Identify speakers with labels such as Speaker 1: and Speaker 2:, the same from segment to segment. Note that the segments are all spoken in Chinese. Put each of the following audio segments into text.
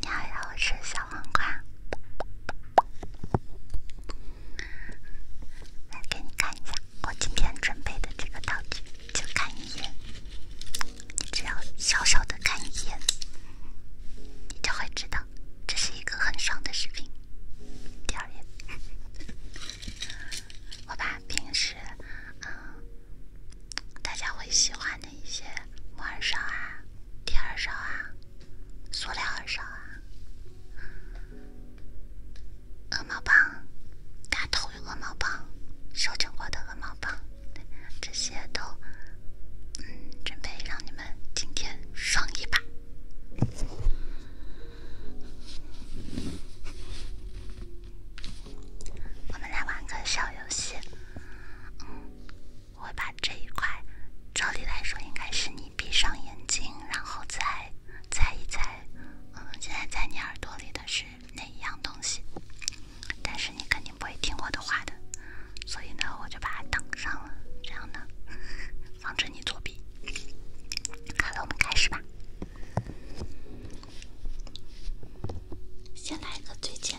Speaker 1: 你好呀，我是小黄瓜。来给你看一下，我今天准备的这个道具，就看一眼，你只要小小的看一眼，你就会知道这是一个很爽的视频。第二页，我把平时嗯大家会喜欢一些木耳勺啊，铁耳勺啊，塑料耳勺啊，鹅毛棒、大头鹅毛棒、修整过的鹅毛棒，这些都，嗯，准备让你们今天爽一把。我们来玩个小游戏，嗯。我把这一块，照理来说应该是你闭上眼睛，然后再猜一猜，嗯，现在在你耳朵里的是哪一样东西？但是你肯定不会听我的话的，所以呢，我就把它挡上了，这样呢，防止你作弊。好了，我们开始吧，先来一个最简单。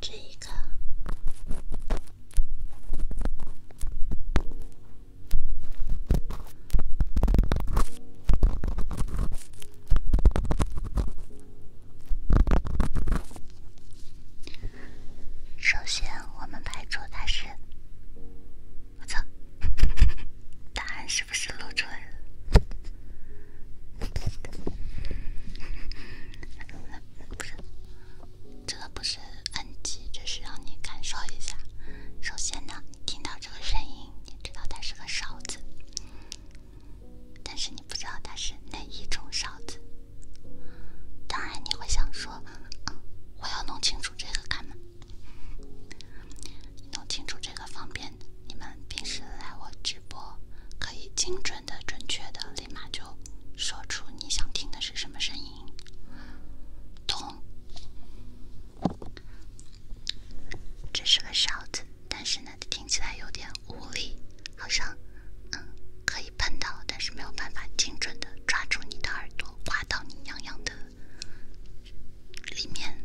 Speaker 1: 这一个，首先我们排除它是，我操，答案是不是陆川？不是，这个不是这是让你感受一下。首先呢，听到这个声音，你知道它是个勺子，但是你不知道它是哪一种勺子。当然，你会想说，我要弄清楚这个干嘛？弄清楚这个方便。你们平时来我直播，可以精准的、准确的，立马就说出你想听的是什么声音。咚，这是个勺子，但是呢，听起来有点无力，好像，嗯，可以碰到，但是没有办法精准的抓住你的耳朵，刮到你痒痒的里面。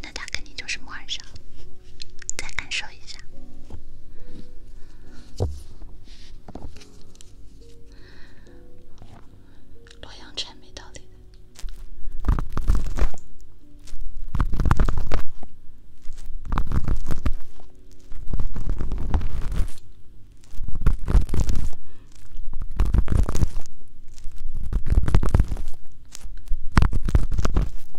Speaker 1: 那它肯定就是木耳勺。再感受一下，洛阳城没道理。的。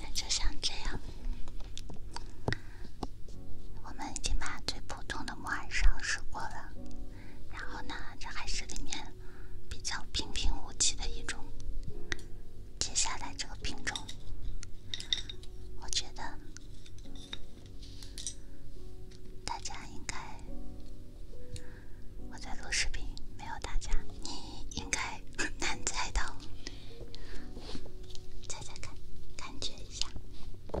Speaker 1: 那就像这样，我们已经把最普通的木耳边尝试过了。然后呢，这还是里面比较平平无奇的一种。接下来这个品种，我觉得。大家应该，我在录视频，没有大家。你应该很难猜到，猜猜看，感觉一下。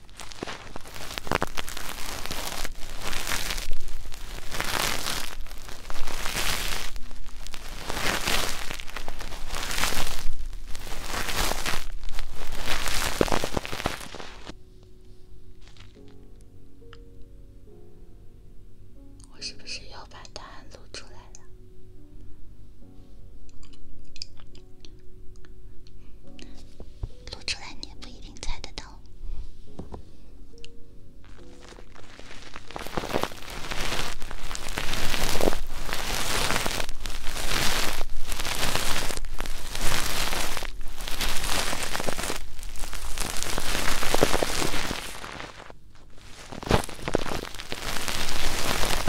Speaker 1: 我是不是又把答案录出来了？露出来，你也不一定猜得到。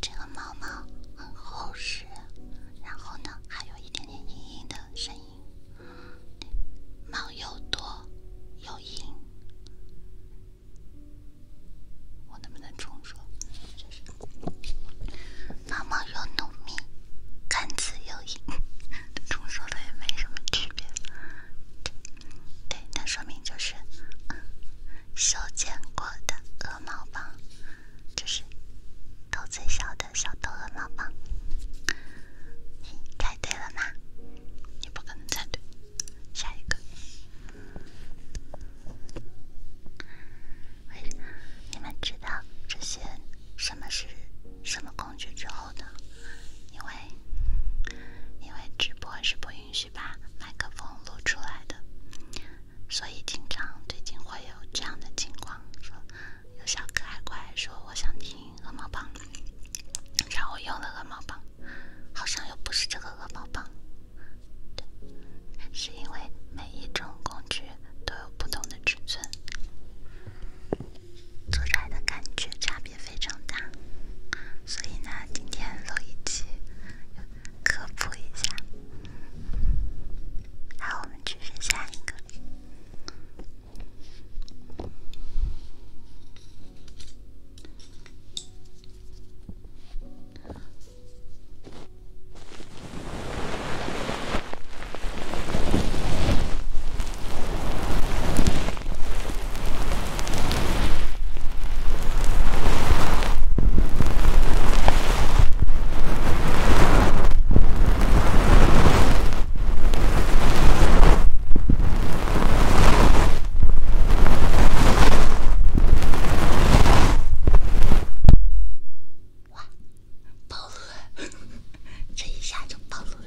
Speaker 1: 这个毛毛很厚实，然后呢，还有一点点硬硬的声音，毛又多又硬，我能不能重说？毛毛又浓密，杆子又硬，重说的也没什么区别，对，那说明就是。修剪过的鹅毛棒，就是头最小的小头鹅毛棒，你猜对了吗？你不可能猜对，下一个。你们知道这些什么是什么工具之后呢？因为因为直播是不允许。把麦克风录出来的，所以经常最近会有这样的情况，说有小可爱过来说我想听鹅毛棒，然后我用了鹅毛棒，好像又不是这个鹅毛棒，对，是因为每一种工具都有不同的尺寸，做出来的感觉差别非常大，所以呢，今天录一期。科普一下，好，我们继续下一个。哇，暴露了！这一下就暴露了。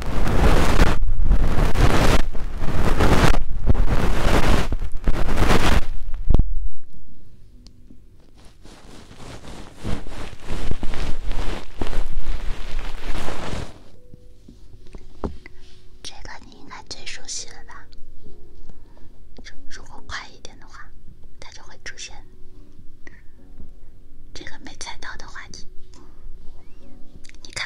Speaker 1: 这个你应该最熟悉了吧？就如果快一点的话，它就会出现。这个没猜到的话题，你看。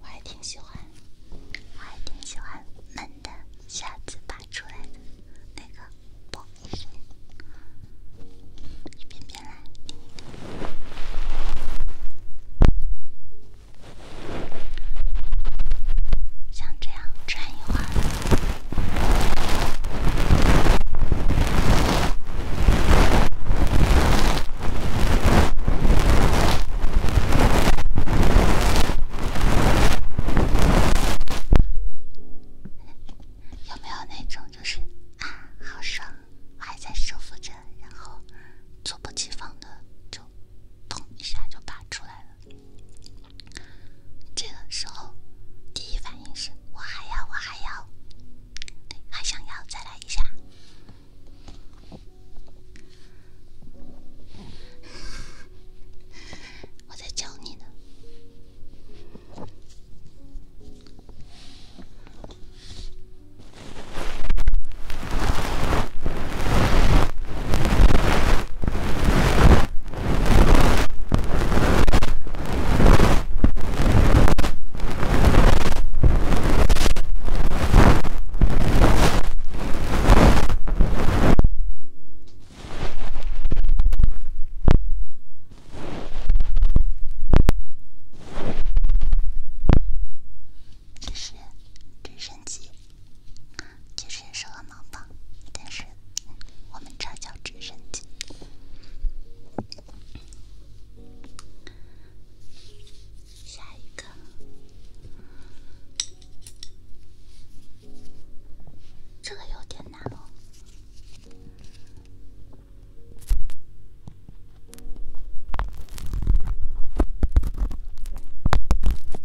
Speaker 1: 我还挺喜欢，我还挺喜欢闷的，瞎子扒出来的那个，不，一遍遍来。像这样转一会儿，有没有那种就是啊，好爽，我还在舒服着，然后猝不及防的就咚一下就拔出来了？这个时候，第一反应是，我还要，我还要，还想要再来一下。我在教你呢。真是，真神奇。其实也是个毛棒，但是我们这叫直升机。下一个，这个有点难哦。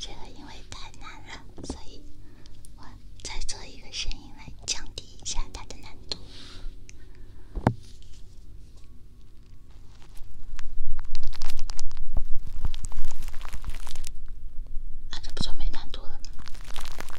Speaker 1: 这个因为太难了，所以我再做一个声音来降低一下它的难度。那这不就没难度了？吗？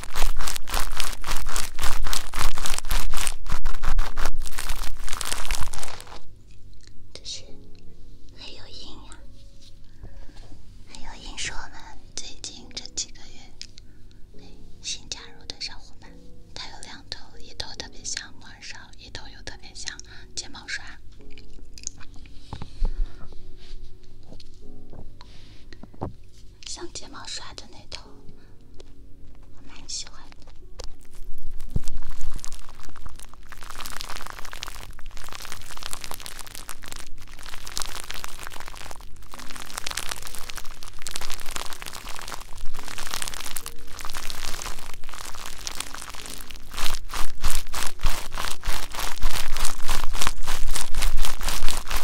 Speaker 1: 这是还有鹰呀，还有鹰是我们最近这几个月新加入的小伙伴。它有两头，一头特别像毛刷，一头又特别像睫毛刷，像睫毛刷的那头。
Speaker 2: 我蛮喜欢。的。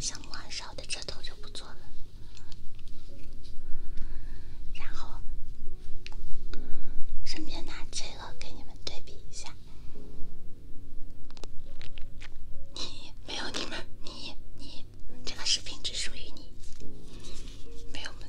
Speaker 1: 像木勺的这头就不做了。然后，顺便拿这个给你们对比一下。你没有你们，你你，这个视频只属于你，没有们。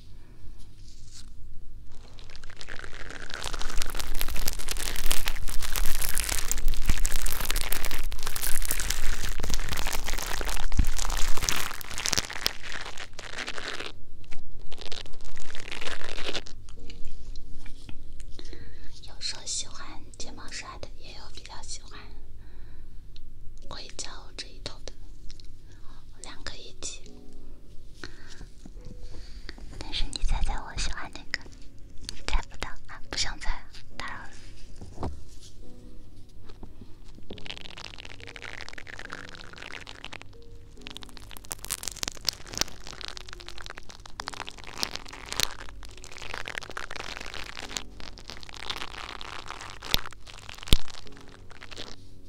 Speaker 1: 有说喜欢睫毛刷的，也有比较喜欢硅胶这一头的，两个一起。但是你猜猜我喜欢哪个？猜不到啊，不想猜了，打扰了。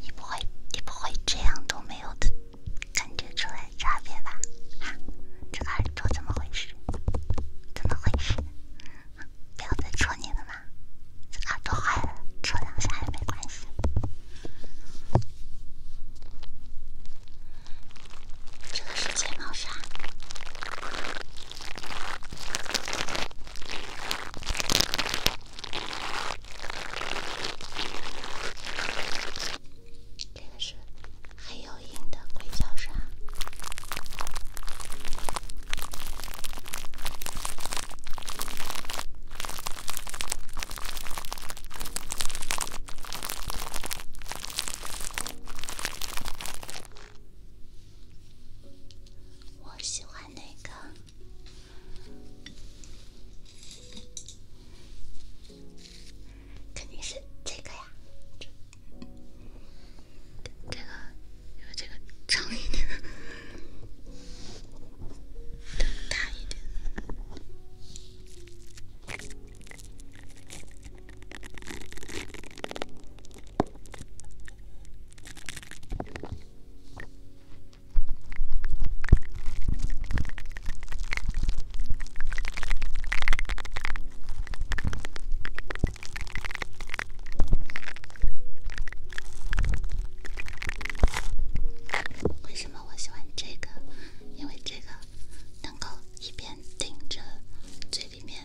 Speaker 1: 你不会，你不会这样都没有的感觉出来差别吧？哈，这个耳朵怎么回事？怎么回事？不要再戳你了吗？这耳朵坏了，戳两下也没关系。这个是睫毛刷。这个是黑幽鹰的硅胶刷，我喜欢那个。肯定是这个呀，这这个，因为这个长一点，大一点。为什么我喜欢这个？因为这个能够一边顶着嘴里面，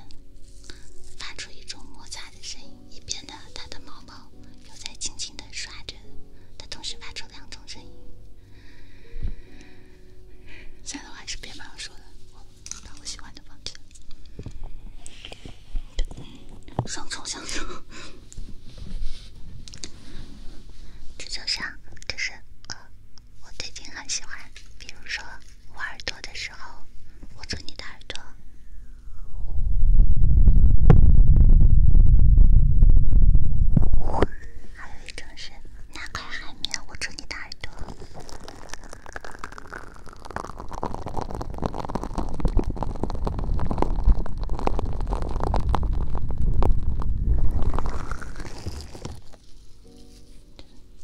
Speaker 1: 发出一种摩擦的声音。一边的它的毛毛又在轻轻的刷着，它同时发出两种声音。算了，我还是别马上说了，我我喜欢的房间。来。双重享受，这就像就是呃，我最近很喜欢，比如说挖耳朵的时候，我搓你的耳朵。还有一种是那块海绵我住你的耳朵。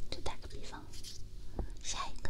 Speaker 1: 就打个比方，下一个。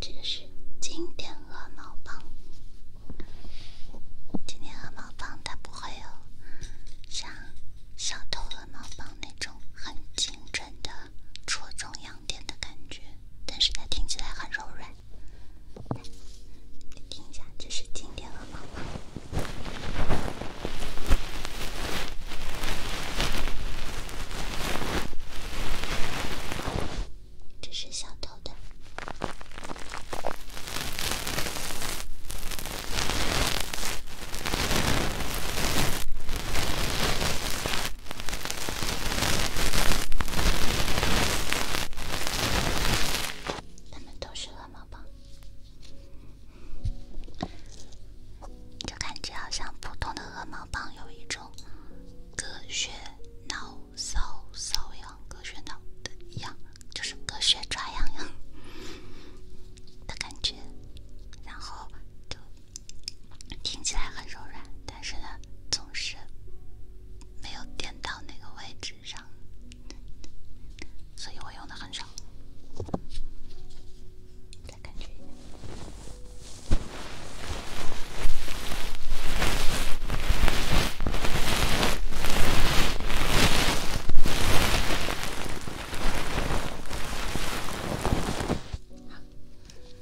Speaker 1: 这个是经典鹅毛棒。经典鹅毛棒它不会有像小头鹅毛棒那种很精准的戳中央点的感觉，但是它听起来很柔软。来，听一下，这是今天和妈妈，这是小偷的。它们都是鹅毛棒，就感觉好像普通的鹅毛棒有一种隔血挠骚骚痒、隔血挠的一样，就是隔血抓痒痒的感觉。然后就听起来很柔软，但是呢，总是。没有点到那个位置上，所以我用的很少。再开。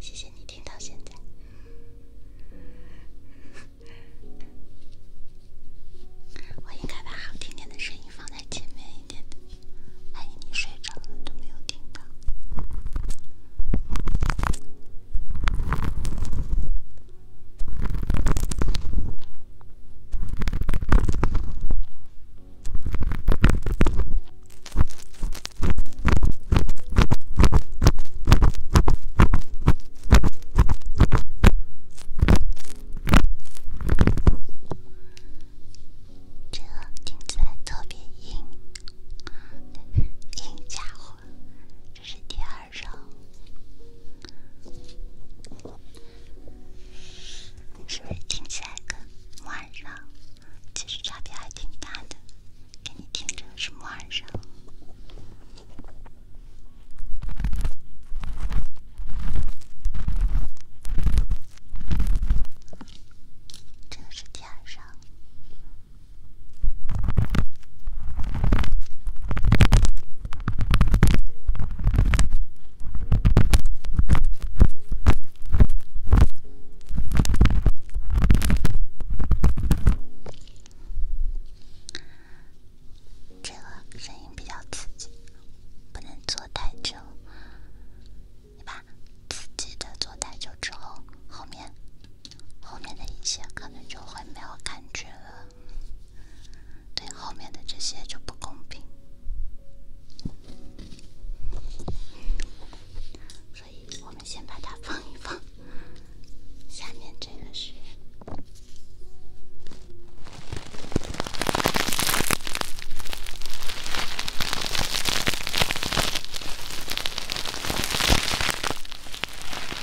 Speaker 1: 谢谢你听到现在。我应该把好听点的声音放在前面一点的，万一你睡着了都没有听到。这个听起来特别硬，硬家伙。这是第二。晚上，是不是听起来跟晚上其实差别还挺大的？给你听着，是晚上，这是天亮。这个声音比较刺激，不能做太久，你把刺激的做太久之后，后面。后面的一切可能就会没有感觉了，对后面的这些就不公平，所以我们先把它放一放。下面这个是。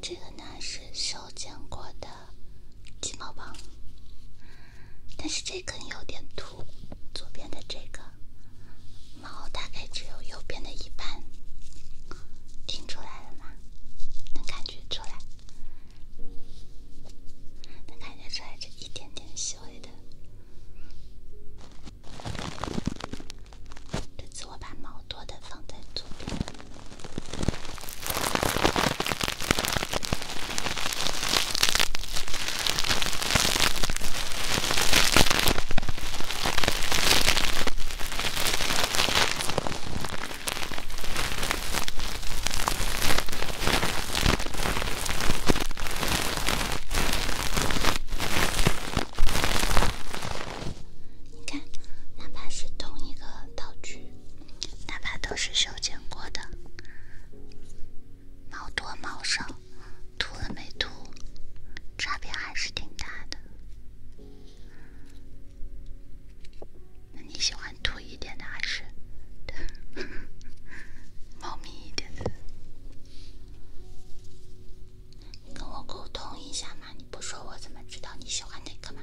Speaker 1: 这个呢是修剪过的金毛棒，但是这根有点秃，左边的这个毛大概只有右边的一半。听出来了吗？能感觉出来？能感觉出来，这一点点细微的。这次我把毛多的放在左边。你看，哪怕是同一个道具，哪怕都是修剪过的，毛多毛少，秃了没秃，差别还是挺大的。那你喜欢土一点的还是，猫咪一点的？跟我沟通一下嘛，你不说我怎么知道你喜欢哪个嘛？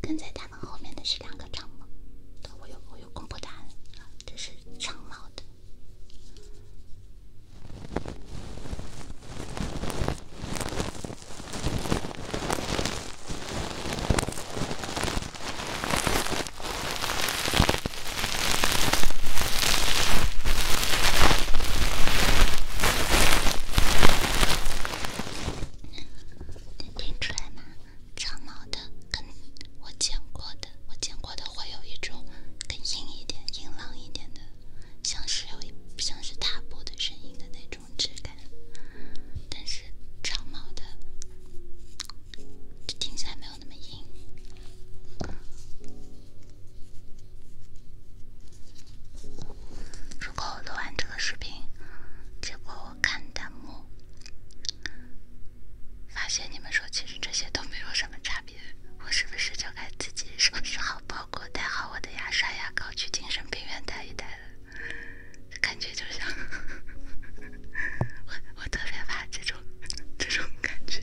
Speaker 1: 跟在他们后面的是两个长毛，我有我有公布答案这是长毛的，能听出来吗？长毛的，跟我见过的，我见过的会有一种更硬一点、硬朗一点的，像是有一像是踏步的声音的那种质感。但是长毛的听起来没有那么硬。如果我录完这个视频，结果我。看弹幕，发现你们说其实这些都没有什么差别，我是不是就该自己收拾好包裹，带好我的牙刷牙膏，去精神病院待一待了？感觉就像，我我特别怕这种这种感觉。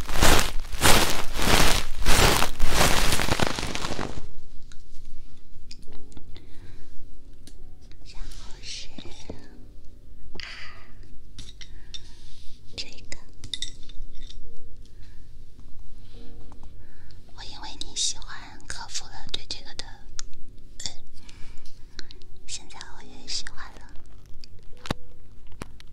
Speaker 1: 然后是啊，这个，我因为你喜欢，克服了对这个的，呃，现在我也喜欢了。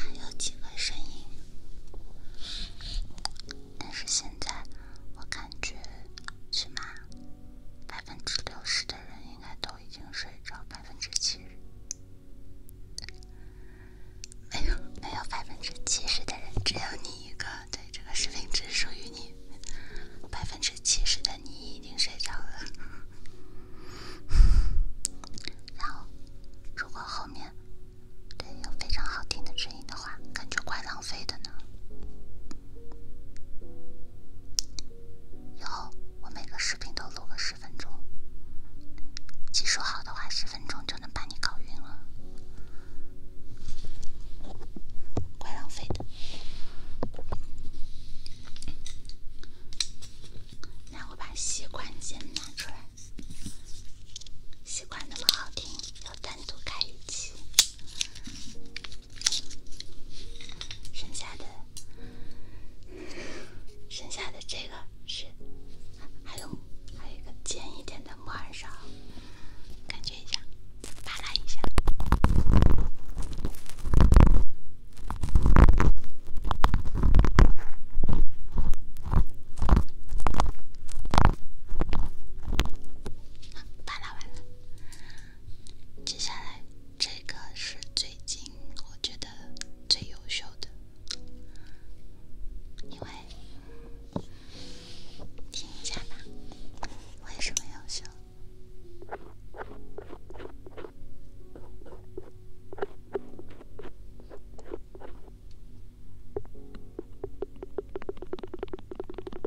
Speaker 2: 还有几个声
Speaker 1: 音，但是现在我感觉是吗？百分之六十的人应该都已经睡着，百分之七十没有没有百分之七十的人，只有你一个。对，这个视频只属于你。百分之七十的你已经睡着了，然后如果后面对有非常好听的声音的话，感觉怪浪费的呢。以后我每个视频都录个十分钟，技术好的话十分钟就能把你搞晕了，怪浪费的。那我把习惯先拿出来，习惯那么好听，要单独开一期。剩下的，剩下的这个是，还有还有一个尖一点的木耳勺，感觉一下，扒拉一下，扒拉完了。接下来，这个是最近我觉得最优秀的，因为听一下吧，为什么优秀？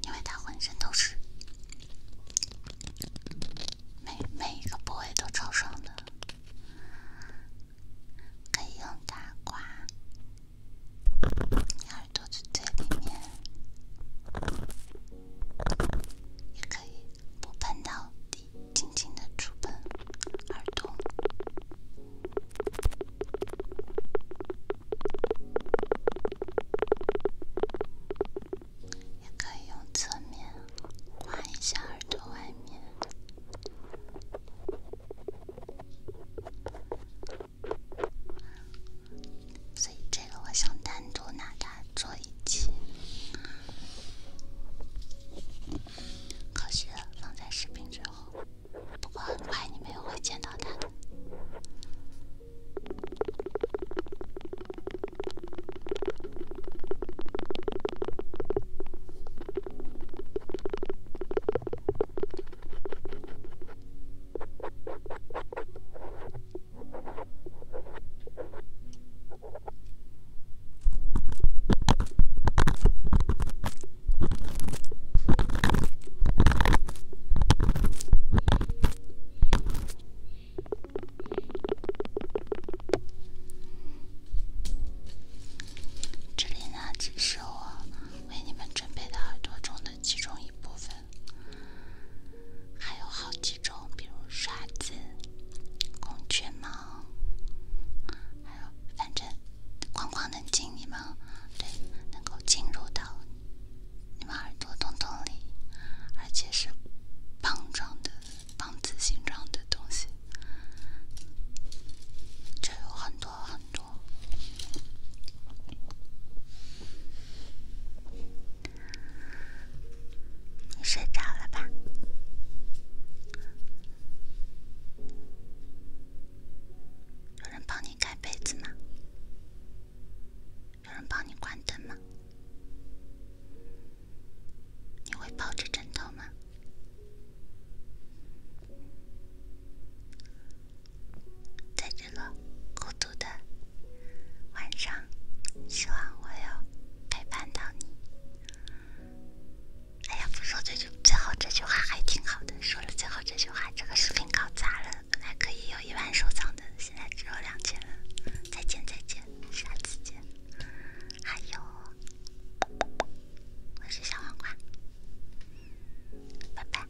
Speaker 1: 因为它浑身都是，每一个部位都超爽的，可以用它刮，耳朵最里面。也可以不碰到底，轻轻的触碰耳朵，也可以用侧面刮一下耳朵外面，所以这个我想单独拿它做一。可惜了，放在视频之后，不过很快你们会见到他的。这里呢，只是我为你们准备的耳朵中的其中一部分。还有好几种，比如刷子、孔雀毛，还有反正光光能进你们，对，能够进入到你们耳朵洞洞里，而且是棒状的、棒子形状的东西，这有很多很多。你睡着了吧？有人帮你盖被子吗？有人帮你关灯吗？你会抱着枕头吗？在这个孤独的晚上，希望我有。陪伴到你。哎呀，不说这句，最后这句话还挺好的。说了最后这句话，这个视频搞砸了，本来可以有一万收藏的，现在只有两千了。再见，再见，下次见。还有，我是小黄瓜，拜拜。